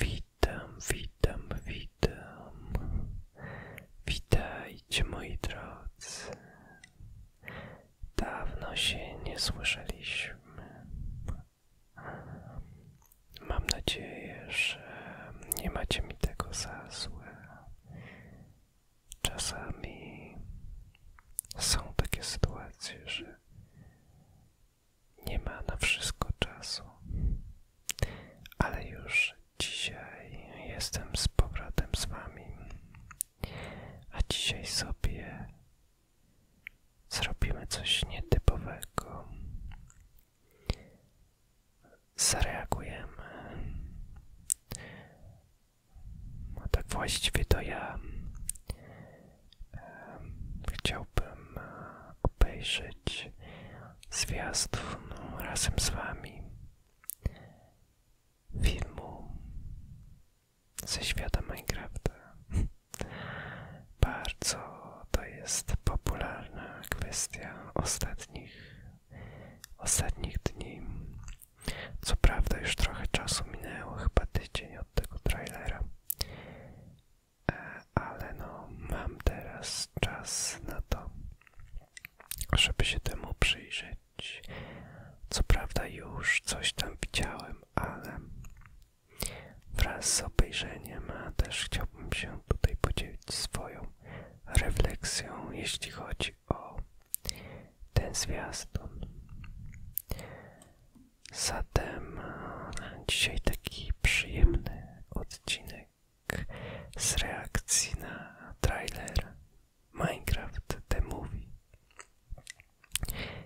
Witam, witam, witam. Witajcie moi drodzy. Dawno się nie słyszeliśmy. Mam nadzieję, że nie macie mi tego za złe. Czasami są takie sytuacje, że nie ma na wszystko czasu, ale już dzisiaj jestem z powrotem z Wami, a dzisiaj sobie zrobimy coś nietypowego. Zareagujemy. A no tak właściwie to ja chciałbym e, obejrzeć zwiastun razem z Wami filmu ze świata Minecrafta. Bardzo to jest popularna kwestia ostatnich, ostatnich dni. Co prawda już trochę czasu minęło, chyba tydzień od tego trailera, ale no mam teraz czas na to, żeby się temu przyjrzeć. Co prawda już coś tam widziałem, ale wraz z obejrzeniem a też chciałbym się tutaj podzielić swoją refleksją, jeśli chodzi o ten zwiastun. Zatem e, dzisiaj taki przyjemny odcinek z reakcji na trailer Minecraft The Movie.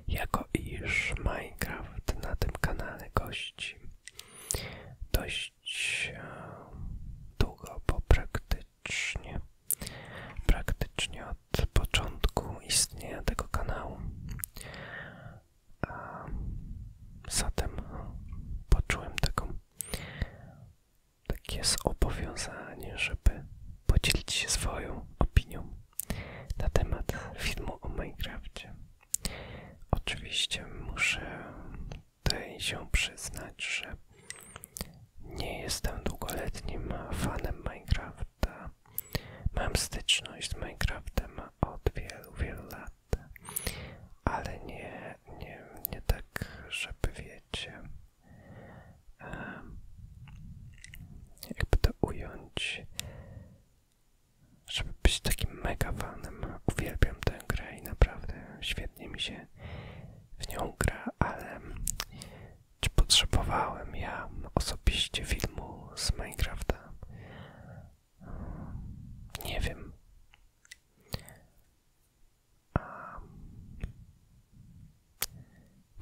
Jako iż Minecraft na tym kanale gości dość e, długo, bo praktycznie, praktycznie od początku istnienia tego kanału Zatem poczułem takie zobowiązanie, żeby podzielić się swoją opinią na temat filmu o Minecraftie. Oczywiście muszę tutaj się przyznać, że nie jestem długoletnim fanem Minecrafta. Mam styczność z Minecraftem od wielu, wielu lat, ale nie, nie, nie tak, żeby wiecie, jakby to ująć, żeby być takim mega fanem. Uwielbiam tę grę i naprawdę świetnie mi się w nią gra, ale potrzebowałem ja osobiście filmu z Minecrafta? Nie wiem.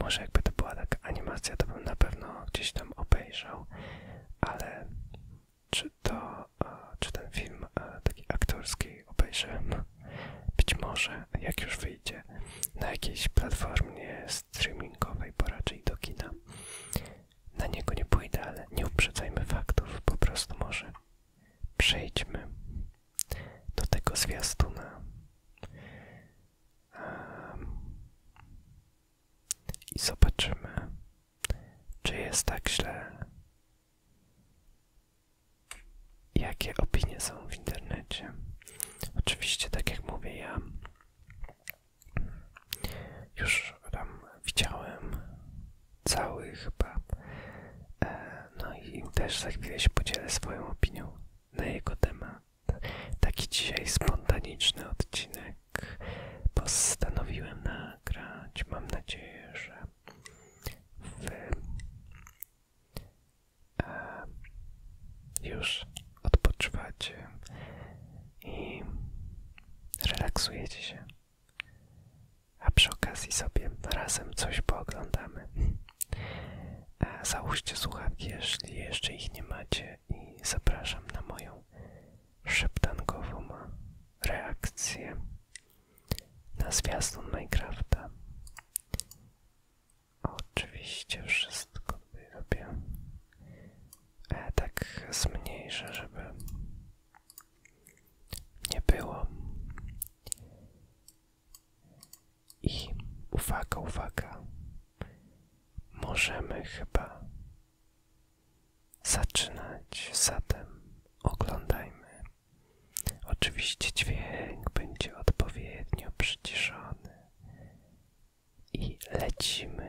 może jakby to była taka animacja, to bym na pewno gdzieś tam obejrzał, ale czy to, czy ten film taki aktorski obejrzałem? Być może, jak już wyjdzie na jakiejś platformie streamingowej, bo raczej do kina na niego nie pójdę, ale nie uprzedzajmy faktów, po prostu może. Przejdźmy do tego zwiastuna. I zobaczymy, czy jest tak źle. Jakie opinie są w internecie? Oczywiście, tak jak mówię, ja już tam widziałem cały chyba. E, no i też za chwilę się podzielę swoją opinią na jego temat. Taki dzisiaj spontaniczny odcinek postanowiłem nagrać. Mam nadzieję, że wy e, już odpoczywacie i relaksujecie się. A przy okazji sobie razem coś pooglądamy. Załóżcie słuchawki, jeśli jeszcze ich nie macie i zapraszam na moją szeptankową reakcję na zwiastun Minecrafta. Oczywiście wszystko robię E, tak zmniejsza, żeby nie było. I uwaga, uwaga, możemy chyba zaczynać. Zatem oglądajmy. Oczywiście dźwięk będzie odpowiednio przyciszony i lecimy.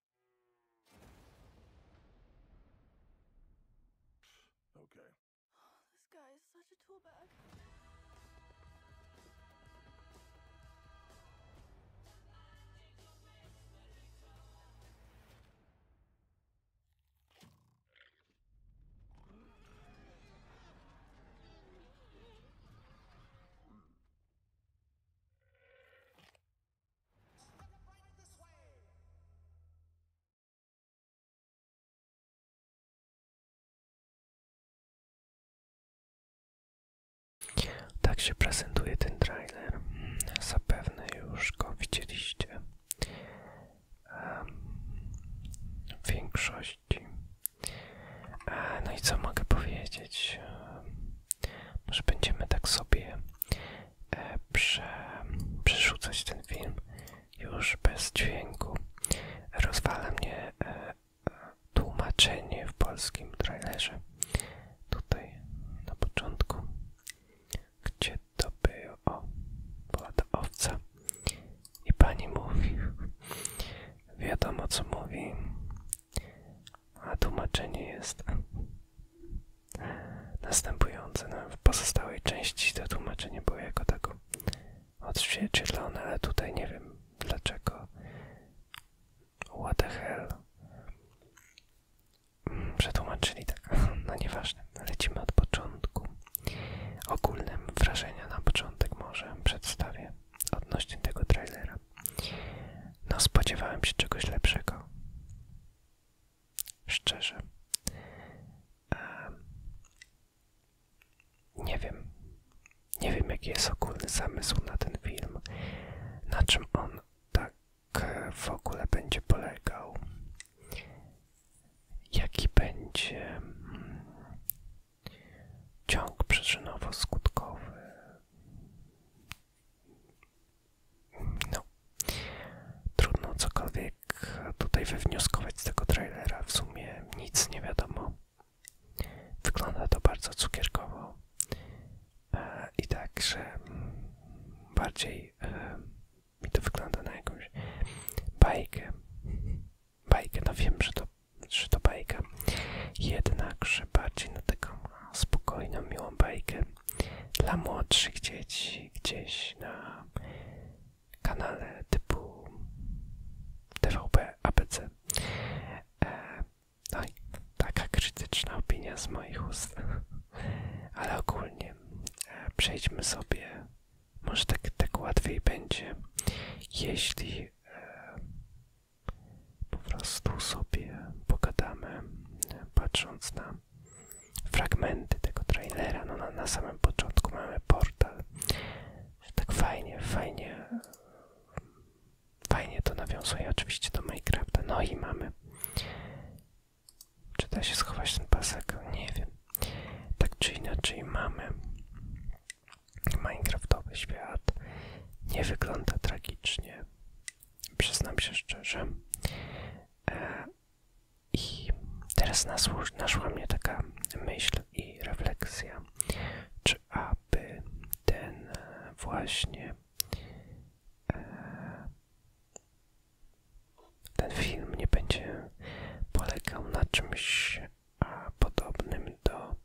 Okay. Oh, this guy is such a tool bag. Tak się prezentuje ten trailer. Zapewne już go widzieliście. W większości. E, no i co mogę powiedzieć? Może będziemy tak sobie E, prze, przerzucać ten film już bez dźwięku. Rozwala mnie e, e, tłumaczenie w polskim trailerze. Tutaj na początku, gdzie to było, o, była owca i pani mówi, wiadomo co mówi, a tłumaczenie jest następujące. No, w pozostałej części to tłumaczenie było jako tako odzwierciedlone, ale tutaj nie wiem dlaczego. What the hell? Przetłumaczyli tak, no nieważne, lecimy od początku. Ogólne wrażenia na początek może przedstawię odnośnie tego trailera. No spodziewałem się czegoś lepszego. Szczerze. Nie wiem. Nie wiem, jaki jest ogólny zamysł na ten film. Na czym on tak e, w ogóle będzie polegał. Jaki będzie mm, ciąg przyczynowo-skutkowy. No, trudno cokolwiek tutaj wywnioskować z tego trailera. W sumie nic nie wiadomo. Wygląda to bardzo cukierkowo e, i także bardziej e, mi to wygląda na jakąś bajkę. Bajkę, no wiem, że to, że to bajka, jednakże bardziej na taką spokojną, miłą bajkę dla młodszych dzieci gdzieś na kanale typu TVP ABC. E, no taka krytyczna opinia z moich ust, ale ogólnie e, przejdźmy sobie, może tak, tak łatwiej będzie, jeśli e, po prostu sobie pogadamy, patrząc na fragmenty tego trailera. No, na, na samym początku mamy portal. Tak fajnie, fajnie, fajnie to nawiązuje oczywiście do Minecrafta. No i mamy. Czy da się schować ten pasek? Nie wiem. Tak czy inaczej mamy Minecraftowy świat. Nie wygląda tragicznie. Przyznam się szczerze. E, I teraz nasłuż, naszła mnie taka myśl i refleksja, czy aby ten e, właśnie e, ten film nie będzie polegał na czymś a, podobnym do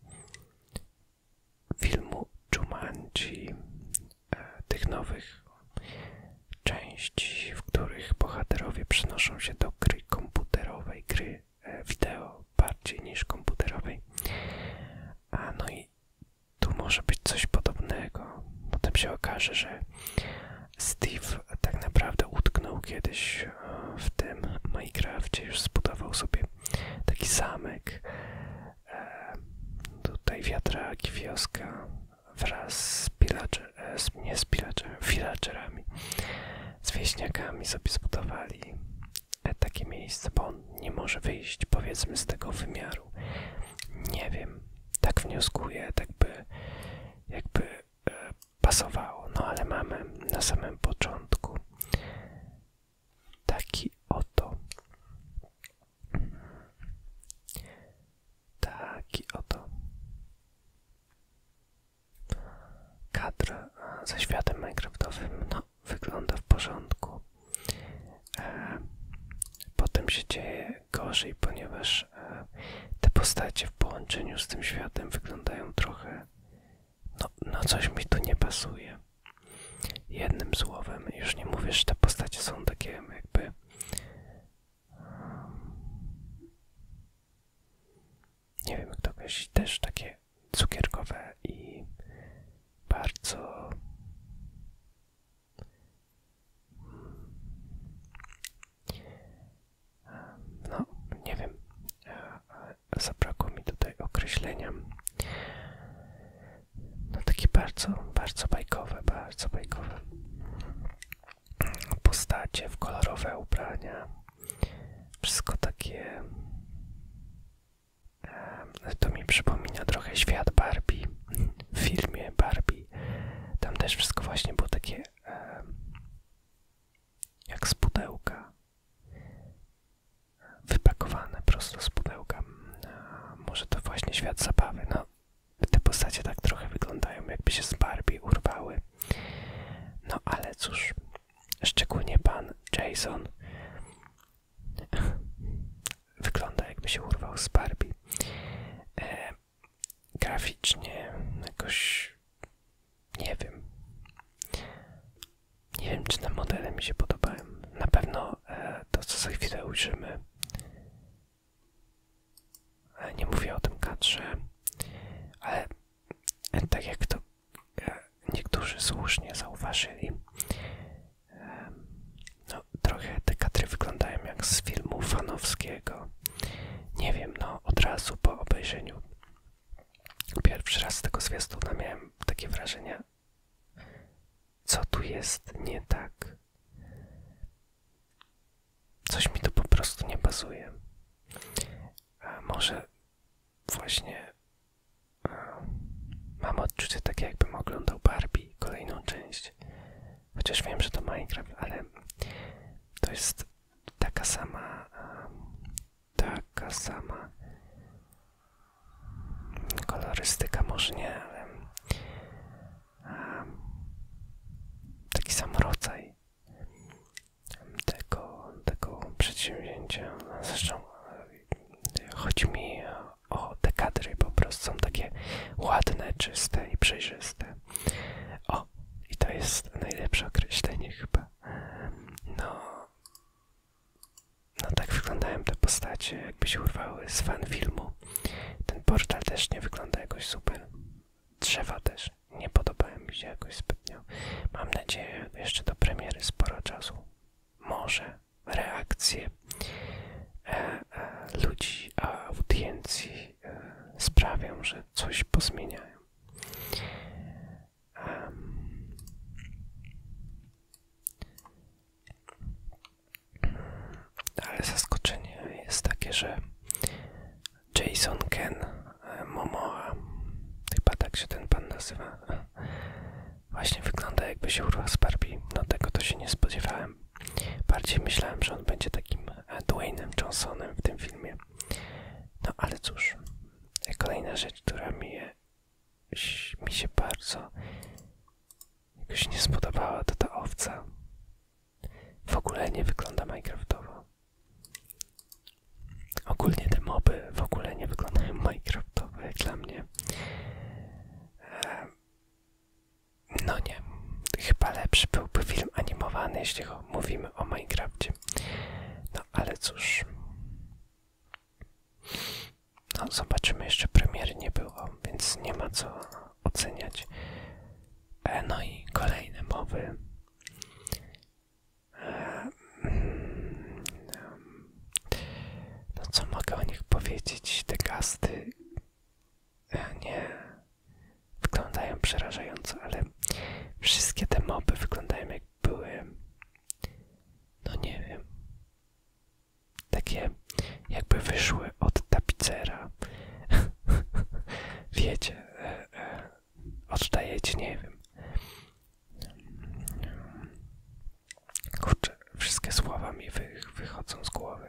filmu Jumanji, e, tych nowych części, w których bohaterowie przenoszą się do gry komputerowej, gry e, wideo bardziej niż komputerowej. A no i tu może być coś podobnego. Potem się okaże, że Steve tak naprawdę utknął kiedyś e, w tym Minecrafcie, już zbudował sobie taki zamek E, tutaj wiatrak, wioska wraz z, pilager, e, nie z pilager, villagerami, z wieśniakami sobie zbudowali e, takie miejsce, bo on nie może wyjść powiedzmy z tego wymiaru. Nie wiem, tak wnioskuję, tak by jakby e, pasowało, no ale mamy na samym początku Taki oto. Taki oto. Kadr ze światem Minecraftowym. No, wygląda w porządku. E, potem się dzieje gorzej, ponieważ e, te postacie w połączeniu z tym światem wyglądają trochę. No, no coś mi tu nie pasuje. Jednym słowem, już nie mówisz, że te postacie są takie jakby nie wiem jak to określić, też takie cukierkowe i bardzo no, nie wiem, e, e, zabrakło mi tutaj określenia no takie bardzo, bardzo bajkowe, bardzo bajkowe postacie w kolorowe ubrania. Wszystko takie. To mi przypomina trochę świat Barbie w filmie Barbie. Tam też wszystko właśnie było takie jak z pudełka wypakowane prosto z pudełka. Może to właśnie świat zabawy. No, te postacie tak trochę wyglądają, jakby się z Barbie urwały. No ale cóż, szczególnie pan Jason wygląda jakby się urwał z Barbie. E, graficznie jakoś nie wiem. Nie wiem, czy te modele mi się podobają. Na pewno e, to, co za chwilę ujrzymy. E, nie mówię o tym kadrze, ale e, tak jak to niektórzy słusznie zauważyli, e, no, trochę te kadry wyglądają jak z filmu fanowskiego. Nie wiem, no od razu po obejrzeniu Pierwszy raz z tego zwiastuna miałem takie wrażenie, co tu jest nie tak? Coś mi tu po prostu nie bazuje. może właśnie mam odczucie takie, jakbym oglądał Barbie, kolejną część. Chociaż wiem, że to Minecraft, ale to jest taka sama, taka sama Kolorystyka może nie, taki sam rodzaj tego, tego przedsięwzięcia. Zresztą e, chodzi mi o te po prostu są takie ładne, czyste i przejrzyste. O, i to jest najlepsze określenie chyba. E, no, no tak wyglądają te postacie, jakby się urwały z fan filmu. Ten portal też nie wygląda jakoś super. Drzewa też nie podobają mi się jakoś zbytnio. Mam nadzieję jeszcze do premiery sporo czasu. Może reakcje e, e, ludzi, a audiencji e, sprawią, że coś pozmieniają. Ale zaskoczenie jest takie, że Jason Ken e, Momoa, chyba tak się ten pan nazywa, właśnie wygląda jakby się urwał z Barbie. No tego to się nie spodziewałem. Bardziej myślałem, że on będzie takim e, Dwaynem Johnsonem w tym filmie. No ale cóż, kolejna rzecz, która mi mi się bardzo jakoś nie spodobała to ta owca. W ogóle nie wygląda Minecraftowo. Ogólnie te moby w ogóle nie wyglądają Minecraftowo jak dla mnie. Ehm, no nie, chyba lepszy byłby film animowany, jeśli mówimy o Minecrafcie. No ale cóż, no, zobaczymy, jeszcze premier nie było, więc nie ma co oceniać. E, no i kolejne mowy. E, mm, no co mogę o nich powiedzieć? Te gasty e, nie wyglądają przerażająco, ale wszystkie te moby wyglądają jak były no nie wiem, takie jakby wyszły od tapicera. Wiecie, e, e, nie wiem. Kurczę, wszystkie słowa mi wychodzą z głowy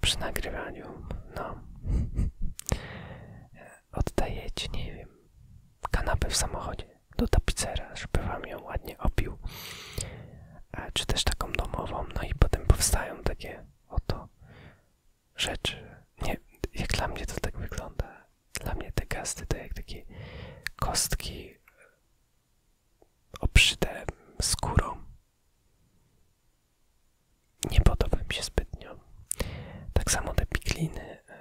przy nagrywaniu. No, oddajecie, nie wiem kanapę w samochodzie do tapicera, żeby wam ją ładnie opił, e, czy też taką domową. No i potem powstają takie oto rzeczy. Nie, jak dla mnie to tak wygląda. Dla mnie te kasty to jak takie kostki e, obszyte skórą. Nie podoba mi się zbytnio. Tak samo te pikliny. E,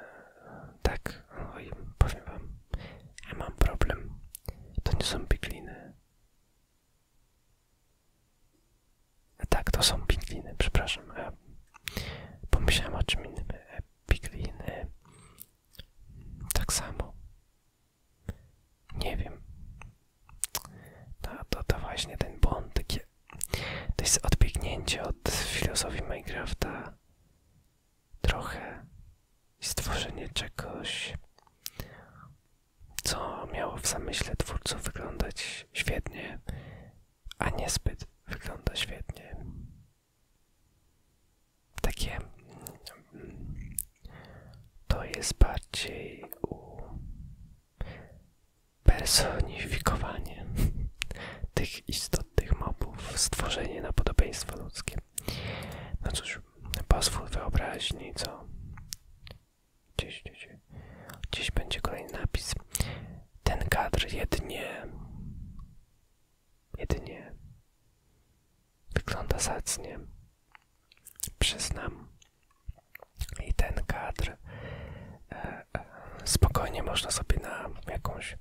tak, oj, powiem wam, mam problem. To nie są pigliny. E, tak, to są pigliny, przepraszam. E, pomyślałem o czym innym. E, pigliny. Tak samo. Nie wiem. To, to, właśnie ten błąd. Takie, to jest odbiegnięcie od filozofii Minecrafta trochę stworzenie czegoś, co miało w zamyśle twórców wyglądać świetnie, a niezbyt wygląda świetnie. Takie mm, to jest bardziej u tych istot, tych mobów, stworzenie na podobieństwo ludzkie. No cóż, pozwól wyobraźni, co? Gdzieś, gdzieś, gdzieś będzie kolejny napis. Ten kadr jedynie, jedynie wygląda zacnie, przyznam. I ten kadr e, e, spokojnie można sobie na jakąś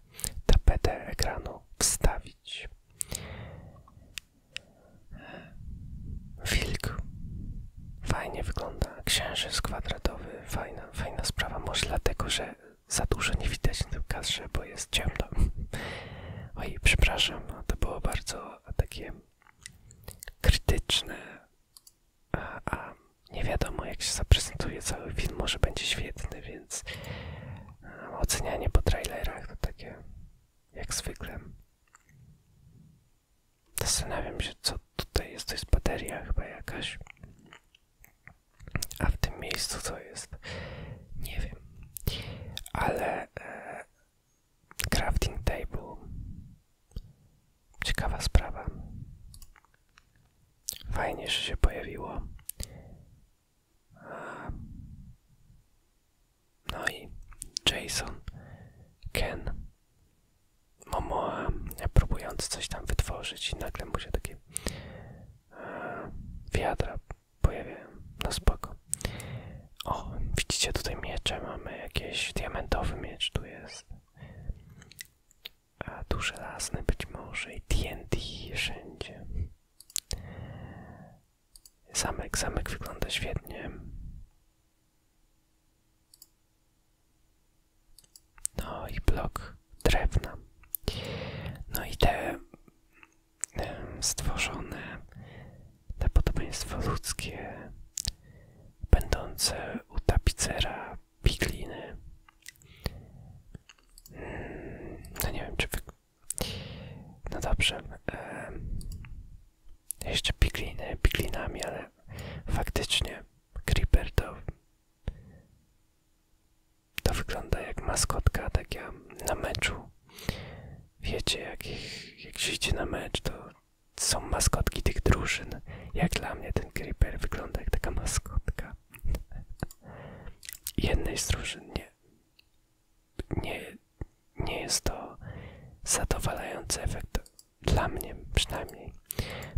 tapetę ekranu wstawić. Wilk. Fajnie wygląda. Księżyc kwadratowy. Fajna, fajna sprawa. Może dlatego, że za dużo nie widać na tym kadrze, bo jest ciemno. Oj, przepraszam, to było bardzo takie krytyczne. A, nie wiadomo, jak się zaprezentuje cały film. Może będzie świetny, więc e, ocenianie po trailerach to takie jak zwykle. Zastanawiam się, co tutaj jest. To jest bateria chyba jakaś. A w tym miejscu co jest? Nie wiem. Ale e, crafting table. Ciekawa sprawa. Fajnie, że się pojawiło. No i Jason, Ken, Momoa, próbując coś tam wytworzyć i nagle mu się takie wiadra pojawiają. No spoko. O, widzicie tutaj miecze, mamy jakiś diamentowy miecz tu jest a tu żelazny być może i TNT wszędzie. Zamek, zamek wygląda świetnie. No i blok drewna. No i te e, stworzone, te podobieństwo ludzkie, będące u tapicera pigliny. Hmm, no nie wiem, czy wy... No dobrze. jeszcze pigliny, piglinami, ale faktycznie Creeper to... To wygląda jak maskotka taka na meczu. Wiecie, jak, jak się idzie na mecz, to są maskotki tych drużyn. Jak dla mnie ten Creeper wygląda jak taka maskotka jednej z drużyn nie, nie, nie jest to zadowalający efekt dla mnie przynajmniej.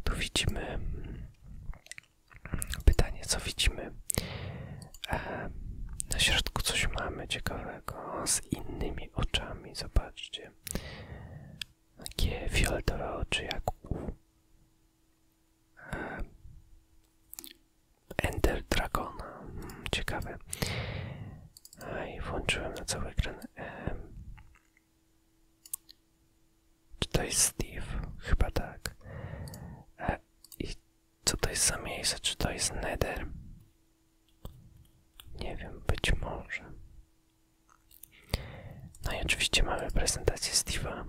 Tu widzimy mm, pytanie, co widzimy. E, na środku coś mamy ciekawego z innymi oczami. Zobaczcie. Takie fioletowe oczy jak u Ender Dragon. Hmm, ciekawe. I włączyłem na cały ekran. Czy to jest Steve? Chyba tak. E, I co to jest za miejsce? Czy to jest Nether? Nie wiem, być może. No i oczywiście mamy prezentację Steve'a.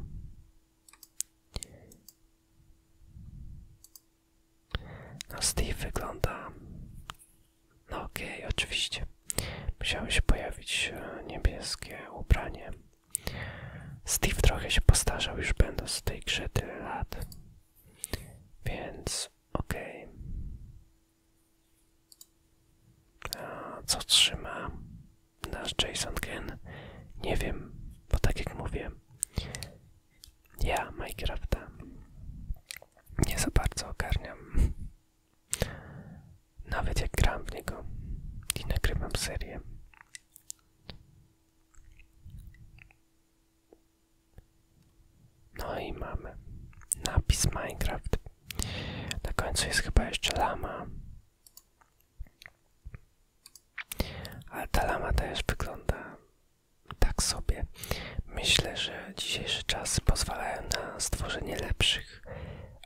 No Steve wygląda... No okej, oczywiście. Musiało się pojawić e, niebieskie ubranie. Steve trochę się postarzał już będąc w tej grze tyle lat. Więc ok. Co trzyma? nasz Jason Green? Nie wiem, bo tak jak mówię, ja Minecrafta nie za bardzo ogarniam. Nawet jak gram w niego i nagrywam serię. No i mamy napis Minecraft. Na końcu jest chyba jeszcze lama ale ta lama też wygląda tak sobie. Myślę, że dzisiejsze czasy pozwalają na stworzenie lepszych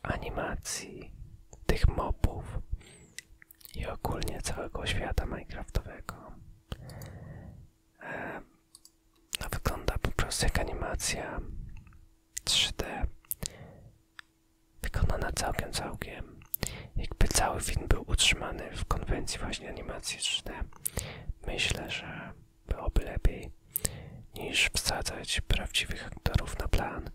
animacji, tych mopów i ogólnie całego świata minecraftowego. E, no, wygląda po prostu jak animacja 3D Wykonana całkiem całkiem. Jakby cały film był utrzymany w konwencji właśnie animacji 3 Myślę, że byłoby lepiej niż wsadzać prawdziwych aktorów na plan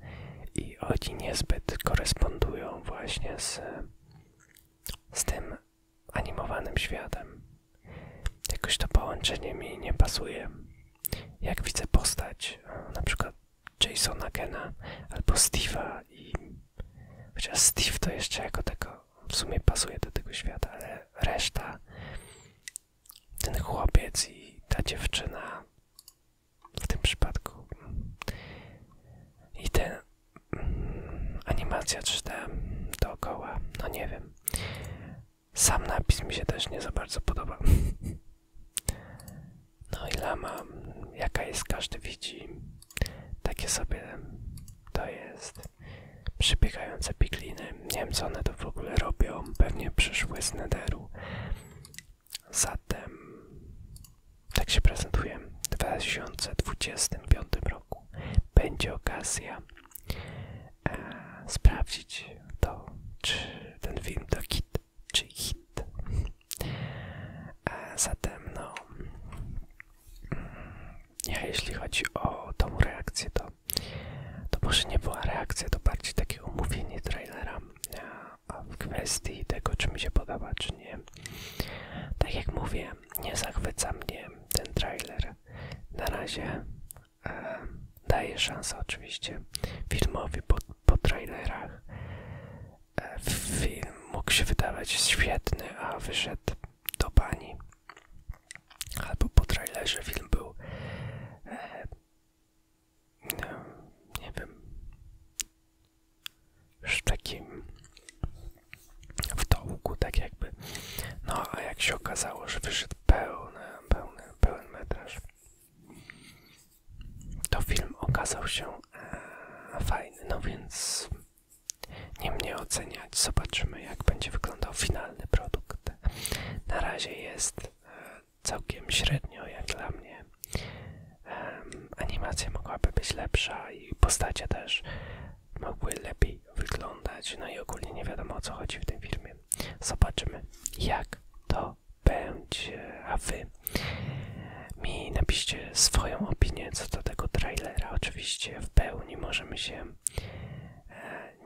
i oni niezbyt korespondują właśnie z, z tym animowanym światem. Jakoś to połączenie mi nie pasuje. Jak widzę postać, e, na przykład Jasona Kena albo Steve'a i chociaż Steve to jeszcze jako tego w sumie pasuje do tego świata, ale reszta ten chłopiec i ta dziewczyna w tym przypadku i ten mm, animacja 3D dookoła, no nie wiem sam napis mi się też nie za bardzo podoba. No i lama, jaka jest, każdy widzi. Takie sobie to jest. Przybiegające pikliny. Nie wiem, co one to w ogóle robią. Pewnie przyszły z nederu. Zatem tak się prezentuję W 2025 roku będzie okazja e, sprawdzić to, czy ten film to kit czy hit. E, zatem, no, mm, ja jeśli chodzi o tą reakcję, to, to może nie była reakcja, to bardziej takie umówienie trailera e, a w kwestii tego, czy mi się podoba, czy nie. Tak jak mówię, nie zachwyca mnie ten trailer. Na razie E, daje szansę oczywiście filmowi po, po trailerach. E, film mógł się wydawać świetny, a wyszedł do bani. Albo po trailerze film był, e, no, nie wiem, już w takim w dołku, tak jakby. No, a jak się okazało, że wyszedł pełny, pełny, pełen metraż, to film okazał się e, fajny, no więc nie mnie oceniać. Zobaczymy, jak będzie wyglądał finalny produkt. Na razie jest e, całkiem średnio, jak dla mnie. animacja mogłaby być lepsza i postacie też mogły lepiej wyglądać. No i ogólnie nie wiadomo o co chodzi w tym filmie. Zobaczymy, jak to będzie, a wy mi napiszcie swoją opinię co do tego trailera. Oczywiście w pełni możemy się e,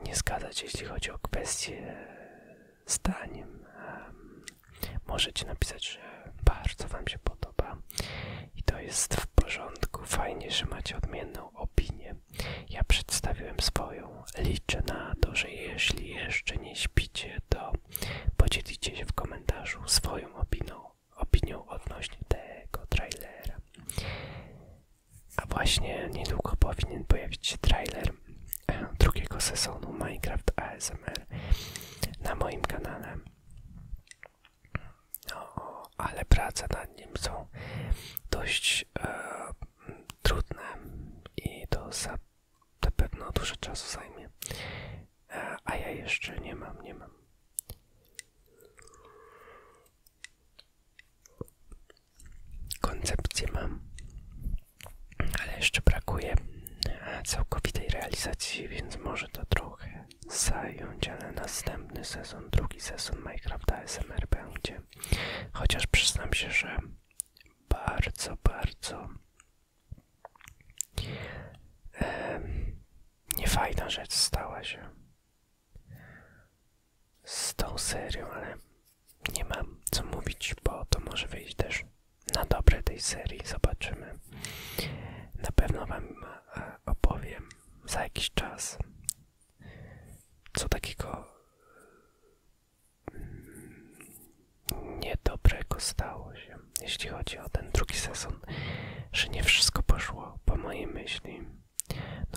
nie zgadzać, jeśli chodzi o kwestie e, zdaniem. Możecie napisać, że bardzo Wam się podoba i to jest w porządku. Fajnie, że macie odmienną opinię. Ja przedstawiłem swoją Liczę na to, że jeśli jeszcze nie śpicie, to podzielicie się w komentarzu swoją opinią, odnośnie tego trailera. A właśnie niedługo powinien pojawić się trailer e, drugiego sezonu Minecraft ASMR na moim kanale. No, ale prace nad nim są dość e, trudne i to za, na pewno dużo czasu zajmie. E, a ja jeszcze nie mam, nie mam. Koncepcję mam, ale jeszcze brakuje e, całkowitej realizacji, więc może to trochę zająć, ale następny sezon, drugi sezon Minecrafta SMR będzie. Chociaż przyznam się, że bardzo, bardzo niefajna rzecz stała się z tą serią, ale nie mam co mówić, bo to może wyjść też na dobre tej serii, zobaczymy. Na pewno Wam e, opowiem za jakiś czas, co takiego niedobrego stało się, jeśli chodzi o ten drugi sezon, że nie wszystko poszło po mojej myśli.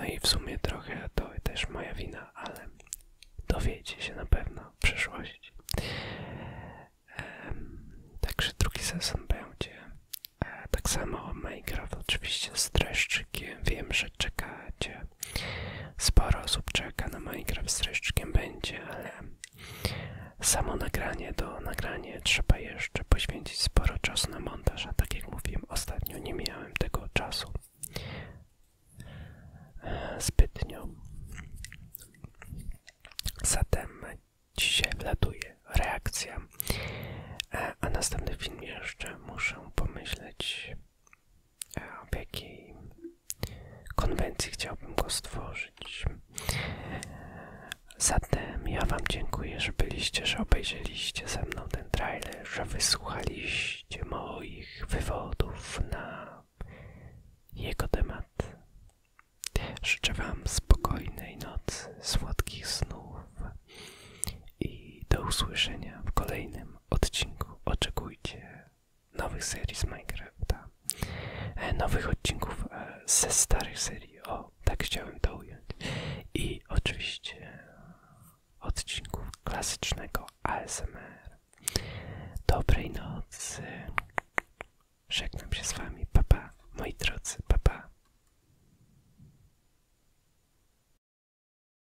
No i w sumie trochę to też moja wina, ale dowiecie się na pewno w przyszłości. także drugi sezon będzie. E, tak samo Minecraft oczywiście z dreszczykiem. Wiem, że czekacie Sporo osób czeka na Minecraft z reszczkiem będzie, ale samo nagranie do nagrania trzeba jeszcze poświęcić sporo czasu na montaż, a tak jak mówiłem ostatnio nie miałem tego czasu e, zbytnio. Zatem dzisiaj wlatuje reakcja, e, a następny film jeszcze muszę pomyśleć w jakiej konwencji chciałbym go stworzyć. Zatem ja Wam dziękuję, że byliście, że obejrzeliście ze mną ten trailer, że wysłuchaliście moich wywodów na jego temat. Życzę Wam spokojnej nocy, słodkich snów i do usłyszenia w kolejnym odcinku oczekujcie nowych serii z Minecrafta, e, nowych odcinków e, ze starych serii, o tak chciałem to ująć, i oczywiście odcinku klasycznego ASMR. Dobrej nocy, żegnam się z wami, papa, moi drodzy, papa. Pa.